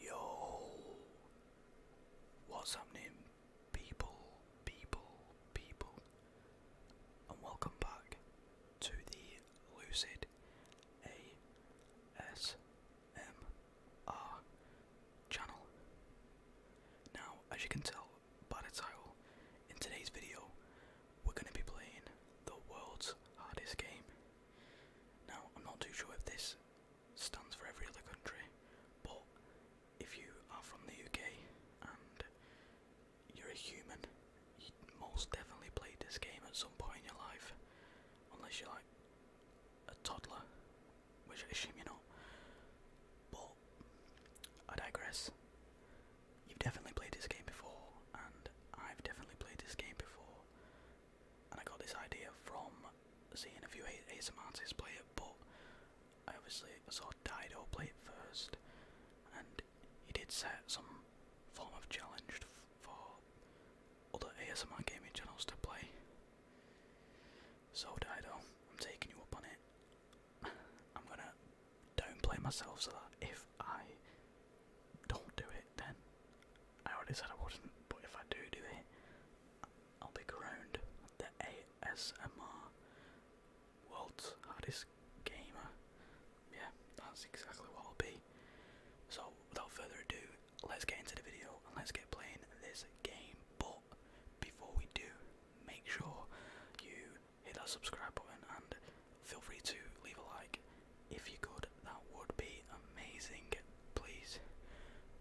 Yo, what's happening, people, people, people, and welcome back to the Lucid ASMR channel. Now, as you can tell by the title, in today's video, we're going to be playing the world's hardest game. Now, I'm not too sure if this stands for every other country. But if you are from the UK and you're a human, you most definitely played this game at some point in your life, unless you're like a toddler, which I assume you're not. But I digress. You've definitely played this game before, and I've definitely played this game before, and I got this idea from seeing a few ASM artists play it, but I obviously saw Dido play it first, and he did set some form of challenge for other ASMR gaming channels to play. So Dido, I'm taking you up on it. I'm gonna downplay myself so that if I don't do it, then I already said I wouldn't, but if I do do it, I'll be ground. The ASMR World's Hardest Gamer. Yeah, that's exactly what I'll be. So, without further ado, let's get into the video and let's get playing this game. But before we do, make sure you hit that subscribe button and feel free to leave a like if you could, that would be amazing, please.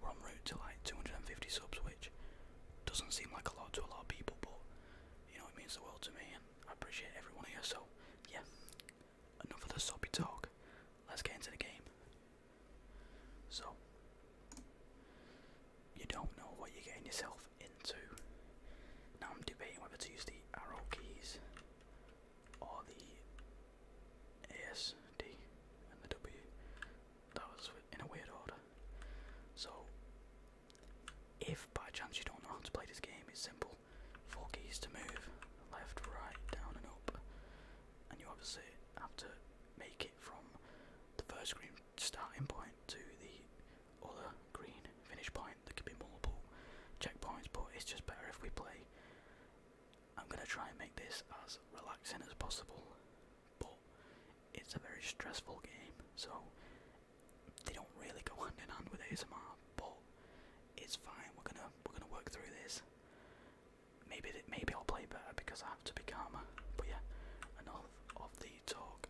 We're on route to like 250 subs, which doesn't seem like a lot to a lot of people, but you know, it means the world to me, and I appreciate everyone here. So, yeah, enough of the soppy talk. Let's get into the game. So, you don't know what you're getting yourself into. Now, I'm debating whether to use the arrow keys all the S, D, and the W. That was in a weird order. So, if by chance you don't know how to play this game, it's simple. Four keys to move, left, right, down, and up. And you obviously have to make it from the first green starting point to the other green finish point. There could be multiple checkpoints, but it's just better if we play I'm going to try and make this as relaxing as possible, but it's a very stressful game, so they don't really go hand in hand with ASMR, but it's fine. We're gonna we're gonna work through this. Maybe maybe I'll play better because I have to be calmer. But yeah, enough of the talk.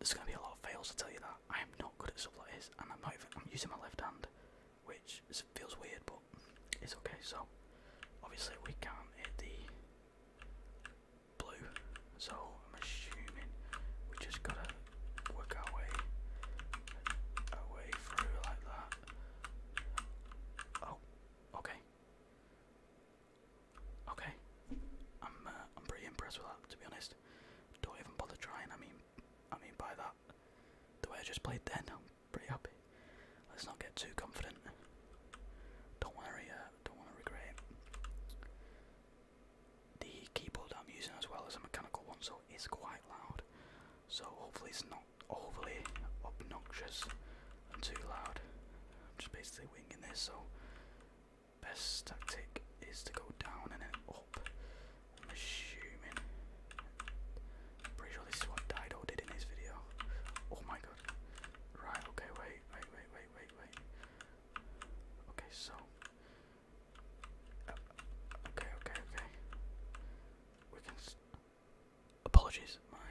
There's gonna be a lot of fails to tell you that. I am not good at stuff and I'm not I'm using my left hand which feels weird, but it's okay. So obviously we can't hit the blue, so I'm assuming we just gotta work our way our way through like that. Oh, okay, okay. I'm uh, I'm pretty impressed with that, to be honest. Don't even bother trying. I mean, I mean, by that, the way I just played then, I'm pretty happy. Let's not get too confident. Don't worry, to uh, don't want to regret it. The keyboard I'm using as well is a mechanical one, so it's quite loud. So hopefully it's not overly obnoxious and too loud. I'm just basically winging this. So best tactic is to go down and I'm assuming. pretty sure this is what Dido did in this video. Oh my god. Right, okay, wait, wait, wait, wait, wait, Okay, so. okay, okay, okay. We can. Apologies, my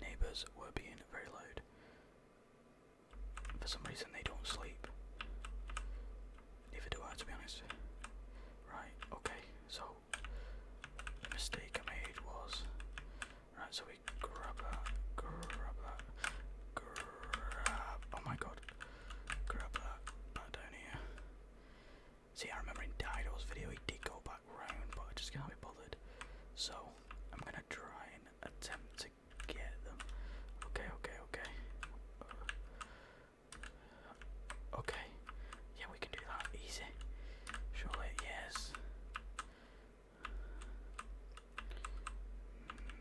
neighbours were being very loud. For some reason, they don't sleep. Neither do I, to be honest. Right, okay, so mistake I made was. Right, so we grab that, grab that, grab. Oh my god. Grab that, back down here. See, I remember in Dido's video he did go back round, but I just can't be bothered. So, I'm gonna try and attempt to get them. Okay, okay, okay. Okay. Yeah, we can do that easy. Surely, yes.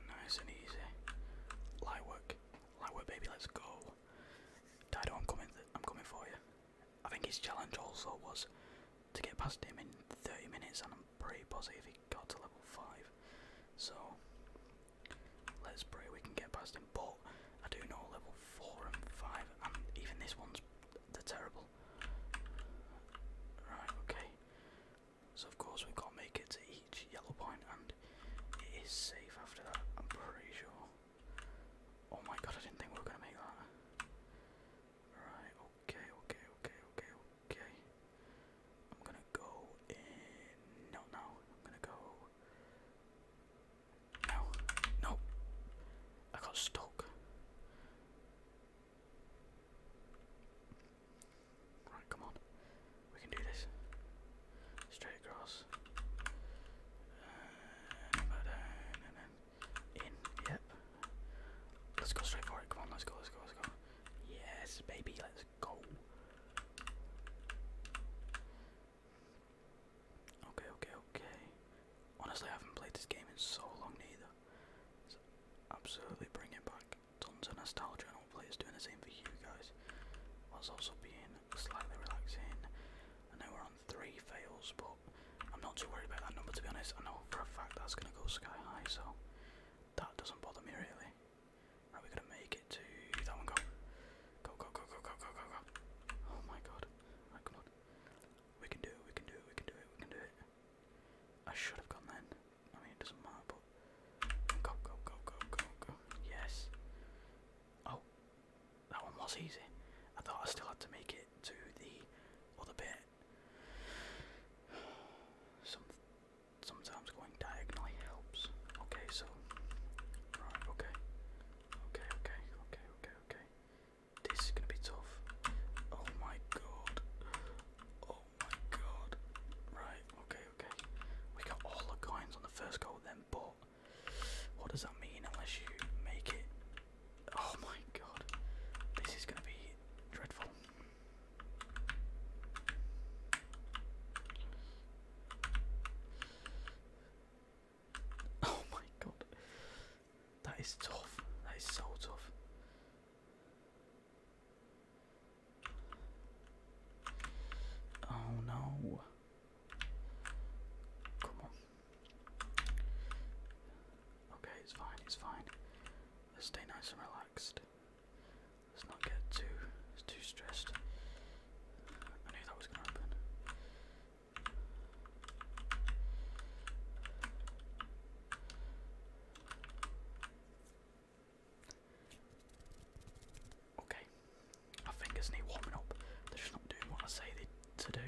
Nice and easy. Light work. Light work, baby, let's go. Dido, I'm coming, I'm coming for you. I think his challenge also was to get past him in 30 minutes, and I'm pretty positive he got to level 5. So, Let's pray we can get past him. But I do know level four and five, and even this one's they terrible. Right, okay. So of course we've got to make it to each yellow point, and it is safe after that. I'm pretty sure. Oh my god, I didn't think we were gonna make that. Right, okay, okay, okay, okay, okay. I'm gonna go in. No, no. I'm gonna go. No, no. I got stuck. Right, come on. We can do this. Straight across. Uh, down and then in. Yep. Let's go straight for it. Come on, let's go, let's go, let's go. Yes, baby, let's go. Okay, okay, okay. Honestly, I haven't played this game in so long neither. It's absolutely bringing back tons of nostalgia and hopefully it's doing the same for you guys. Whilst also being slightly relaxing. I know we're on three fails, but I'm not too worried about that number to be honest. I know for a fact that's gonna go sky high, so that doesn't bother me really. Are we gonna make it to that one? Go, go, go, go, go, go, go, go, go. Oh my god! Right, come on. We can do it. We can do it. We can do it. We can do it. I should have gone then. I mean, it doesn't matter. But go, go, go, go, go, go. Yes. Oh, that one was easy. I thought I still had to make it to the other bit. Some sometimes going diagonally helps. Okay, so right, okay. Okay, okay, okay, okay, okay. This is gonna be tough. Oh my god. Oh my god. Right, okay, okay. We got all the coins on the first go then, but what does that mean unless you make it? Oh my god. This is gonna be dreadful. Oh my god. That is tough. That is so tough. Oh no. Come on. Okay, it's fine, it's fine. stay nice and relaxed. Let's not get too too stressed. I knew that was gonna happen. Okay, my fingers need warming up. They're just not doing what I say they to do.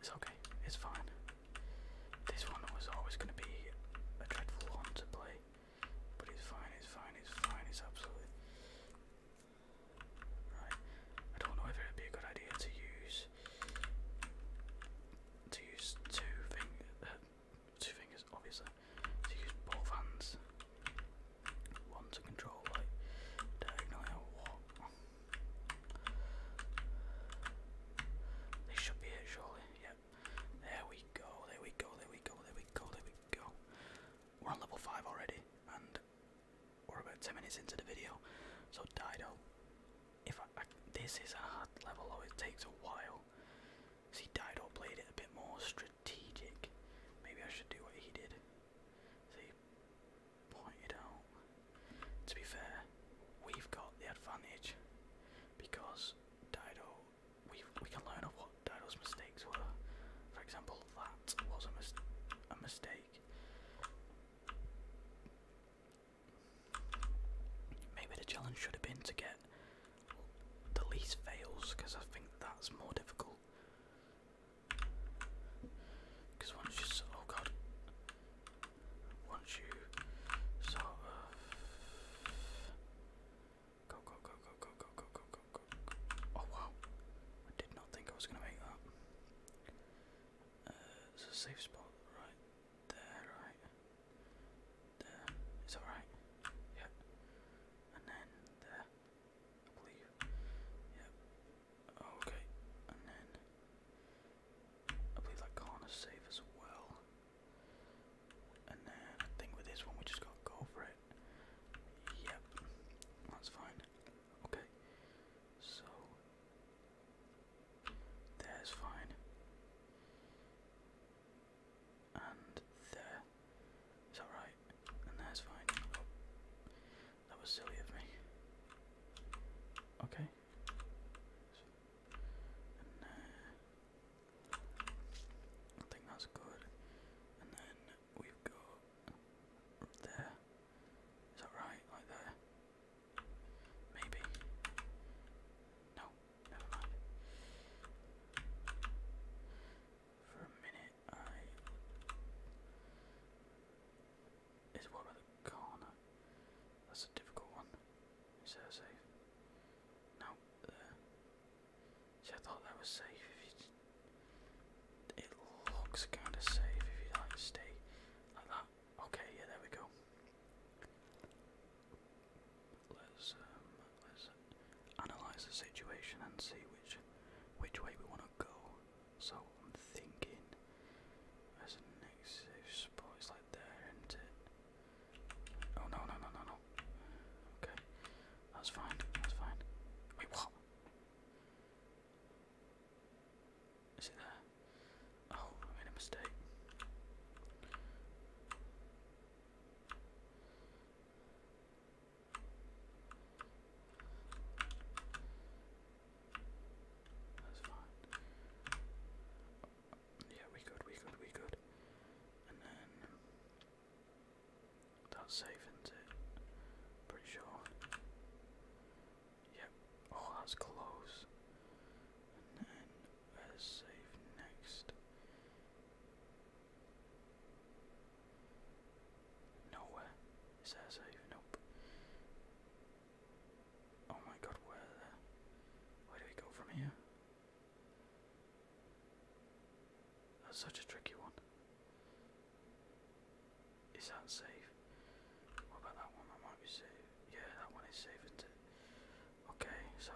It's okay, it's fine. This one was always going to be a dreadful one to play, but it's fine, it's fine, it's fine, it's absolutely. Right, I don't know whether it'd be a good idea to use to use two fingers, uh, two fingers obviously, to use both hands, one to control like diagonally or what, this should be it, surely. Yep. There we go. There we go. There we go. There we go. There we go. We're on level five already, and we're about ten minutes into the video. So Dido, if I, I, this is a hard level, though it takes a while. See, Dido played it a bit more strategic. Maybe I should do what he did. See, pointed out. To be fair, we've got the advantage because Dido, we we can learn of what Dido's mistakes were. For example, that was a, mis a mistake. Maybe the challenge should have been to get the least fails because I think that's more difficult. Because once you, oh god, once you sort of go go go go go go go go go go. Oh wow, I did not think I was gonna make that. it's uh, a safe spot right there, right there. Is that right? Yeah. And then there, Yep. Okay, and then I believe that corner's safe as well. And then I think with this one we just got go for it. Yep, that's fine. Okay, so there's fine. And there. Is that right? And there's fine. Oh. That was silly of me. Okay. Uh, I think that's good. And then we've got there. Is that right? Like there? Maybe. No, never mind. For a minute, is what about the corner? That's a difficult one. Is that safe? No, there. I thought that was safe. it looks kind of safe if you like stay like that. Okay, yeah, there we go. Let's um, let's analyze the situation and see which which way we want to go. So I'm thinking as a next safe spot is like there, isn't it? Oh no no no no no. Okay. That's fine, that's fine. Wait, what? Is it there? Oh, I made a mistake. That's Yeah, we good, we good, we good. And then that's safe, isn't it? Pretty sure. Yep. Oh, that's close. And then let save next. Nowhere. Is there a save? Uh, oh my god, where where do we go from here? That's such a tricky one. Is that safe? What about that one? That might be safe. Yeah, that one is safe, Okay, so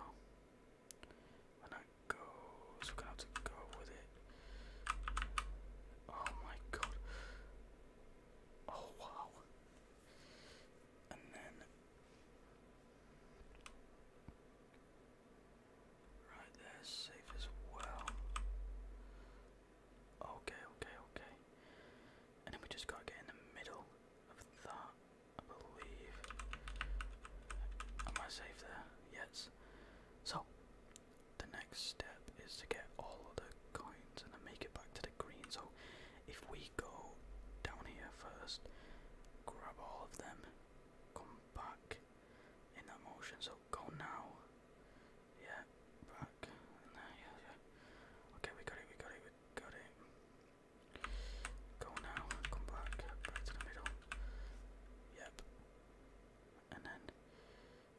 when that goes, we're going to go with it. Oh my god. Oh wow. And then right there's safe as well. Okay, okay, okay. And then we just gotta get in the middle of that, I believe. Am I safe there? Yes. So the next step is to get all of the coins and then make it back to the green. So if we go down here first, grab all of them, come back in that motion. So go now. Yeah, back. yeah, yeah. Okay, we got it, we got it, we got it. Go now, come back, back to the middle. Yep. And then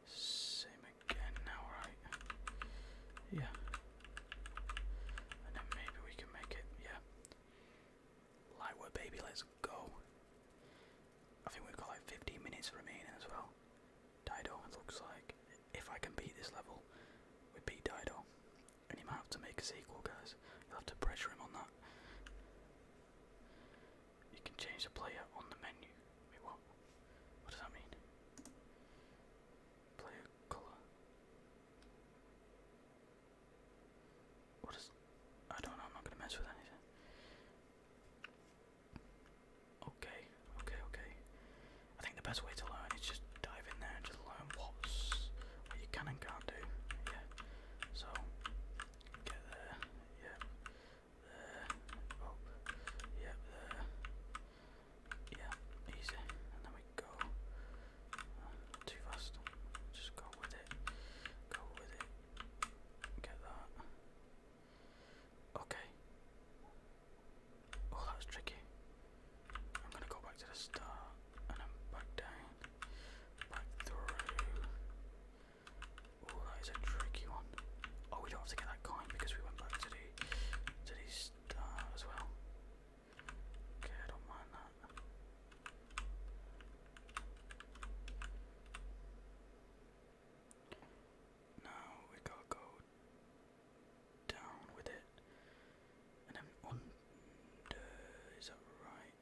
same again now, Yeah. And then maybe we can make it, yeah. Lightwood, baby, let's go. I think we've got like 15 minutes remaining as well. Dido, looks like. If I can beat this level, we beat Dido. And he might have to make a sequel, guys. You'll have to pressure him on that. You can change the player on the menu. what? What does that mean? Player color. What is? I don't know. I'm not gonna mess with anything. Okay, okay, okay. I think the best way to learn is just dive in there and just learn what's what you can and can't do. Yeah. So get there. Yeah there, up, yep, there, yeah, easy, and then we go, too fast, just go with it, go with it, get that, okay, oh that was tricky, I'm gonna go back to the start, and I'm back down, back through, Oh, that is a tricky one. Oh, we don't have to get that coin because we went back to the to the star as well. Okay, I don't mind that. Now we gotta go down with it, and then under. Is that right?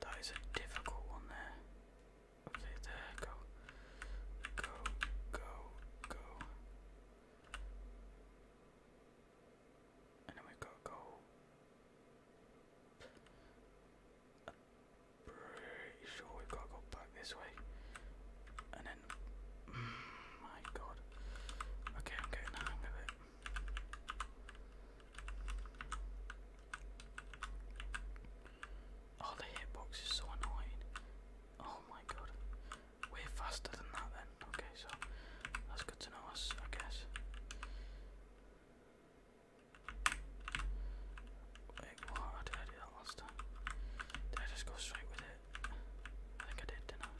That is a difficult one there. Okay, there, go. Go, go, go. And then we've go. pretty sure we've got to go back this way. And then, my god. Okay, I'm getting the hang of Oh, the hitbox is so annoying. Oh my god. Way faster than that then. Okay, so that's good to know us, I guess. Wait, what? did I do that last time? Did I just go straight with it? I think I did, didn't I?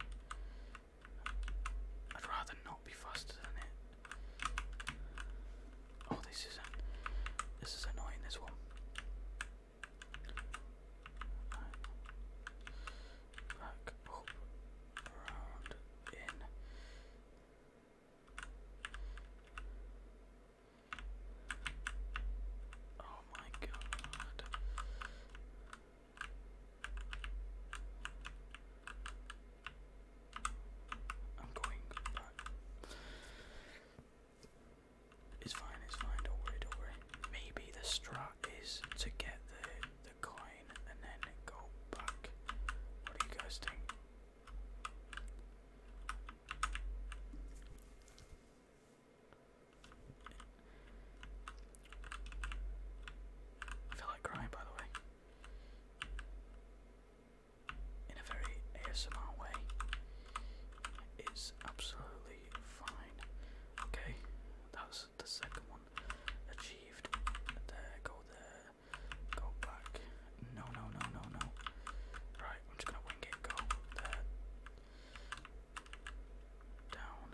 I'd rather not be faster than it. Oh, this is this is annoying. This one. Back up, round in. Oh my god. I'm going, but it's fine, it's fine, don't worry, don't worry. Maybe the strat is to get the the coin and then go back. What do you guys think? I feel like crying by the way in a very ASMR way is absolutely fine. Okay, that's the second one achieved. There, go there, go back. No, no, no, no, no. Right, I'm just gonna wing it. Go there, down.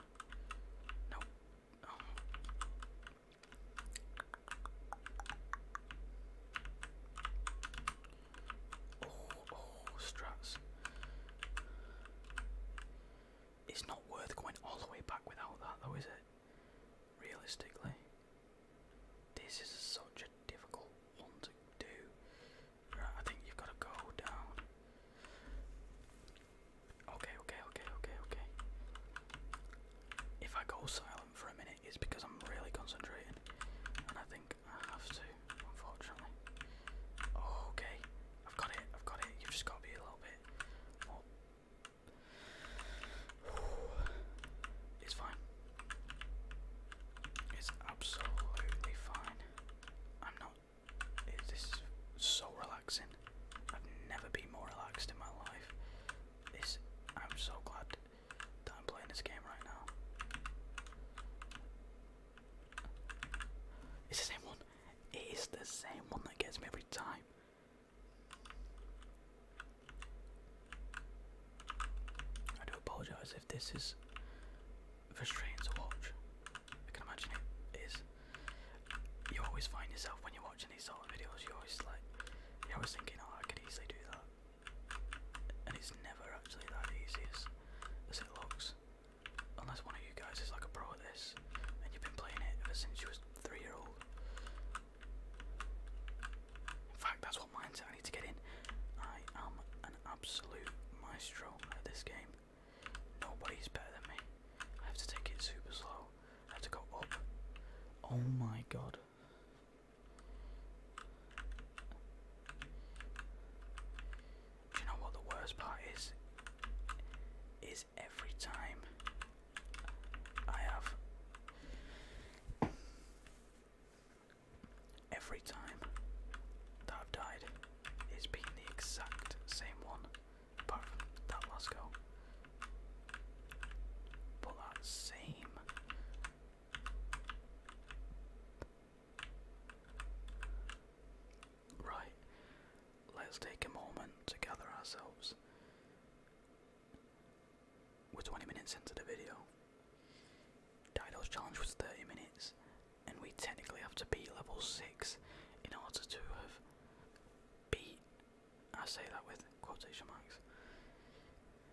No, oh. Oh, oh, It's not worth going all the way back without that, though, is it? Realistically, this is such a difficult one to do. I think you've got to go down. Okay, okay, okay, okay, okay. If I go silent, for a minute is because I'm really concentrating, and I think I have to, unfortunately. okay, I've got it, I've got it. You've just got to be a little bit It's fine. It's absolutely fine. I'm not. this is so relaxing. I've never been more relaxed in my life is I'm so glad that I'm playing this game right now. It's the same one. It is the same one that gets me every time. I do apologise if this is frustrating to watch. I can imagine it is. You always find yourself when you watch watching these solo videos, you always like, you're thinking, oh, I could easily do that. And it's never actually that easy as, it looks. Unless one of you guys is like a pro at this, and you've been playing it ever since you was three years old. In fact, that's what mine's at. I need to get in. I am an absolute maestro at this game. Nobody's better than me. I have to take it super slow. I have to go up. Oh my god. Do you know what the worst part is? Is every time I have every time that I've died, it's been the exact same one, apart from that last Put that same Right, let's take a moment to gather ourselves. We're 20 minutes into the video. Dido's challenge was 30 minutes, and we technically have to beat level 6 in order to have beat I say that with quotation marks.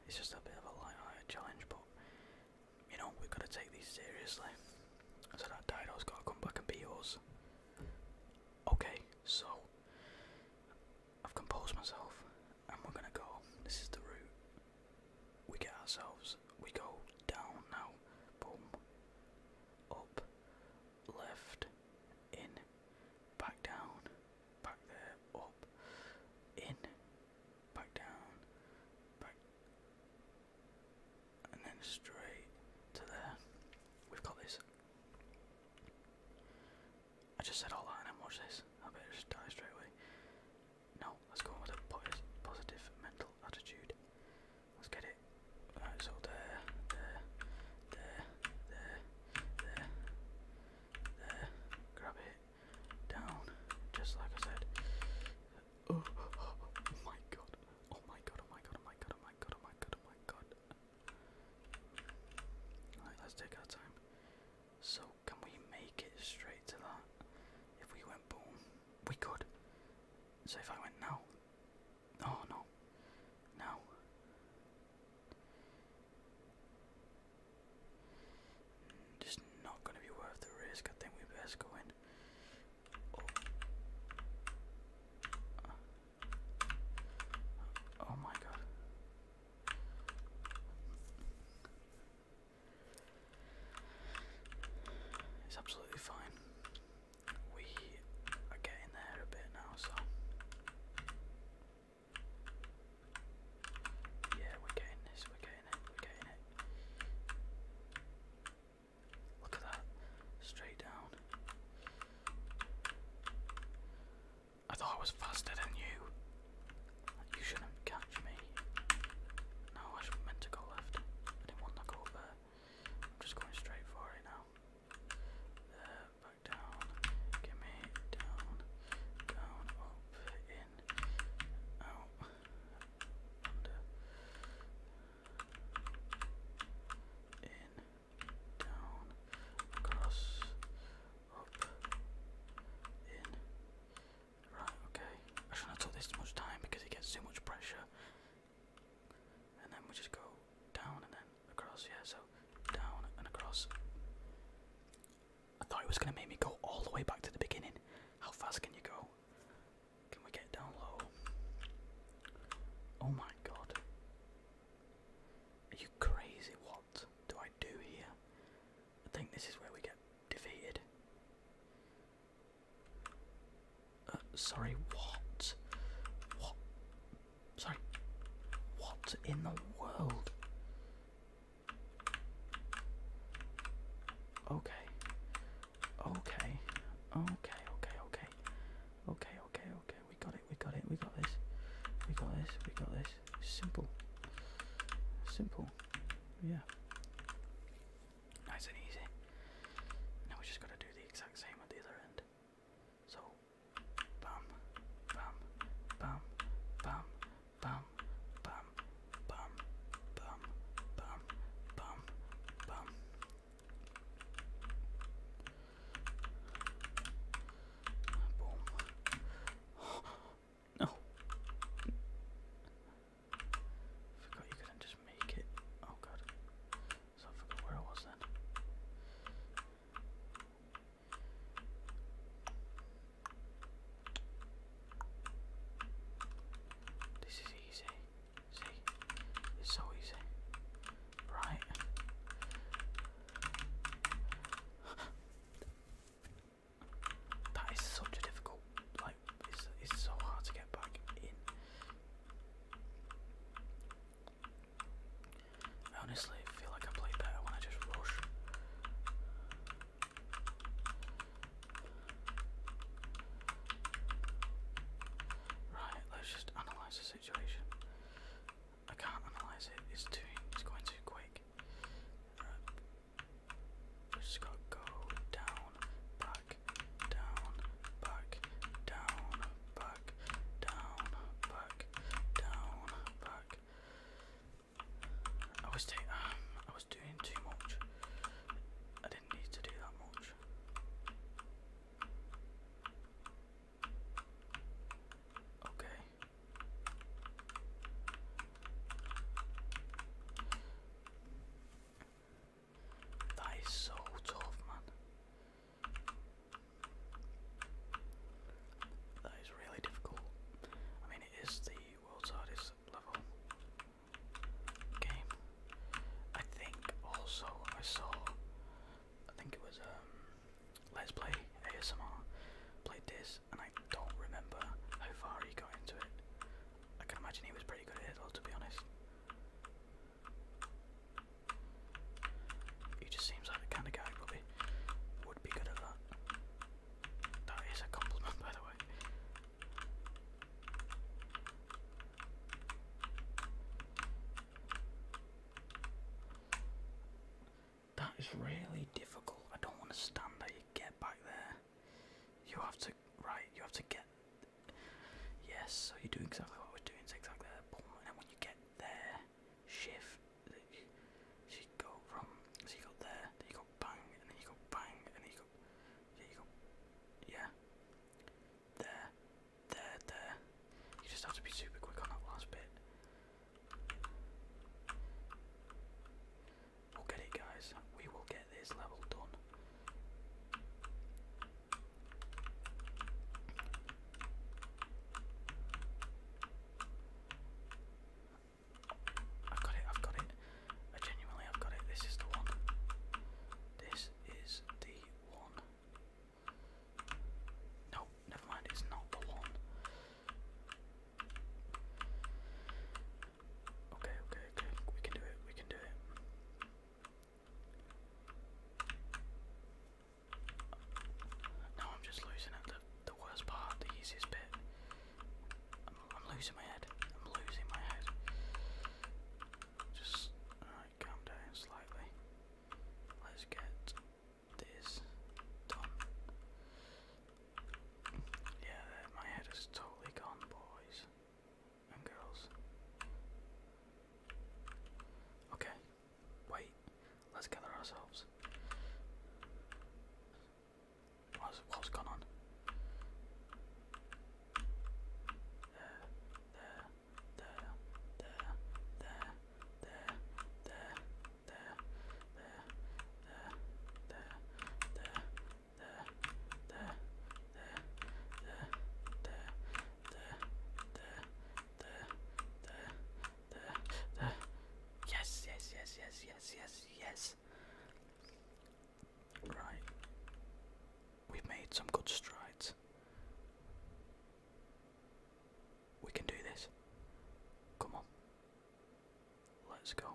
It's just a bit of a light-hearted challenge, but you know we've got to take these seriously. So that Dido's got to come back and be yours. Okay, so I've composed myself, and we're gonna go. This is the route. We get ourselves. We go down now. Boom. Up. Left. In. Back down back there, up, in, back down, back, and then straight to there. We've got this. I just said all that and watch this. I better just die straight away. No, let's go with a positive mental attitude. Let's get it. Alright, so there, there, there, there, there, there, grab it, down, just like I said. Oh, oh, my god, oh my god, oh my god, oh my god, oh my god, oh my god, oh let's take our time. So, can we make it straight to that? If we went boom, we could. So if I went now, oh, no, no, just not going to be worth the risk. I think we best go in. Oh, oh. my god. It's absolutely fine. We are getting there a bit now, so yeah, we're getting this, we're getting it, we're getting it. Look at that. Straight down. I thought I was faster than you. You shouldn't catch me. No, I meant to go left. I didn't want to go there. I'm just going straight for it now. There, back down. Give me down, down, up, in, out, under, in, down, across, up, in. Right, okay. I shouldn't have this much time because it gets too much pressure. And then we just go down and then across, yeah, so down and across. I thought it was going to make me go all the way back to the beginning. How fast can you go? Can we get down low? Oh my god. Are you crazy? What do I do here? I think this is where we get defeated. Uh, sorry, what? What Sorry. What in the world? Okay. Okay. Okay, okay, okay. Okay, okay, okay. We got it, we got it, we got this. We got this, we got this. Simple. Simple. Yeah. Nice and easy. Now we just gotta do the exact same at the other end. So, bum, bum, bum, bum, bum, bum, bum, bum, bum, bum, bum. Boom. no. Forgot you couldn't just make it. Oh god. So I forgot where I was then. This is easy. See? It's so easy. Right. that is such a difficult like it's it's so hard to get back in. I honestly feel like I play better when I just rush. Right, let's just analyze the situation. I can't analyze it. It's too. It's going too quick. Right. Just gotta go down, back, down, back, down, back, down, back, down, back. Um, I was doing too much. I didn't need to do that much. Okay. That is so tough, man. That is really difficult. I mean, it is the world's hardest level game. I think also I saw, I think it was um, Let's Play ASMR played this, and I don't remember how far he got into it. I can imagine he was pretty good at it, though, to be honest. He just seems like the kind of guy probably would be good at that. That is a compliment, by the way. That is really difficult. I don't want to stand there. You get back there. You have to, right, you have to get. Yes, so you do exactly what we're doing, exactly and when you get there, shift, so you from, so you there, then you bang, and then you bang, and then you go, yeah, yeah, there, there, there, you just have to be super quick on that last bit. We'll get it guys, we will get this level done. I've got it, I've got it. I genuinely I've got it. This is the one. This is the one. No, never mind, it's not the one. Okay, okay, okay. We can do it, we can do it. Now I'm just losing at the, the worst part, the easiest bit. I'm losing my head. I'm losing my head. Just, alright, calm down slightly. Let's get this done. Yeah, my head is totally gone, boys and girls. Okay, Wait, let's gather ourselves. What's, what on? there, there, there, there, there, there, there, there, there, there, there, there, there, there, there, there, there, there, there. Yes, yes, yes, yes, yes, yes, yes. Right. We've made some good strides. We can do this. Come on. Let's go.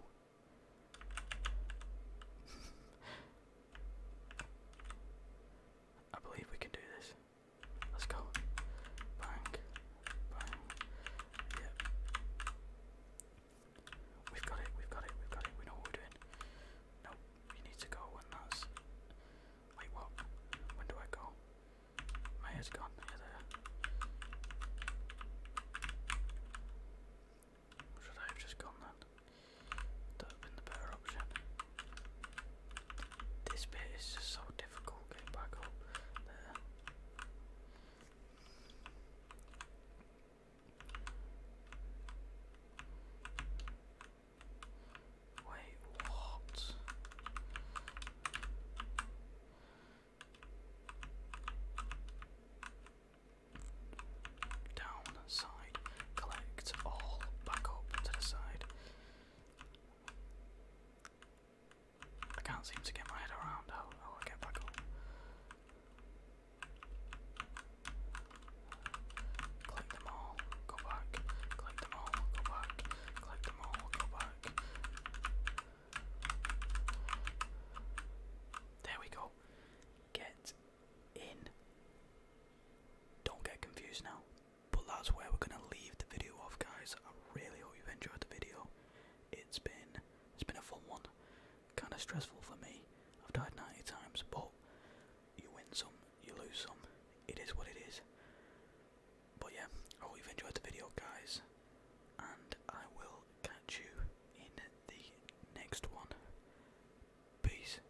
I believe we can do this. Let's go. Bang. Bang. Yep. We've got it, we've got it, we've got it. We know what we're doing. Nope, you need to go when that's. Wait, what? When do I go? My head gone. Yeah, there. Should I have just gone then? That would have the better option. This bit is just so difficult getting back up there. Wait, what? Down side. Collect all back up to the side. I can't seem to get my head around how, how get back up. Collect them all, go back. Collect them all, go back. Collect them all, go back. There we go. Get in. Don't get confused now. But that's where we're gonna leave the video off, guys. I really hope you've enjoyed the video. It's been it's been a fun one. Kind of stressful for me. I've died 90 times, but you win some, you lose some. It is what it is. But yeah, I hope you've enjoyed the video, guys. And I will catch you in the next one. Peace.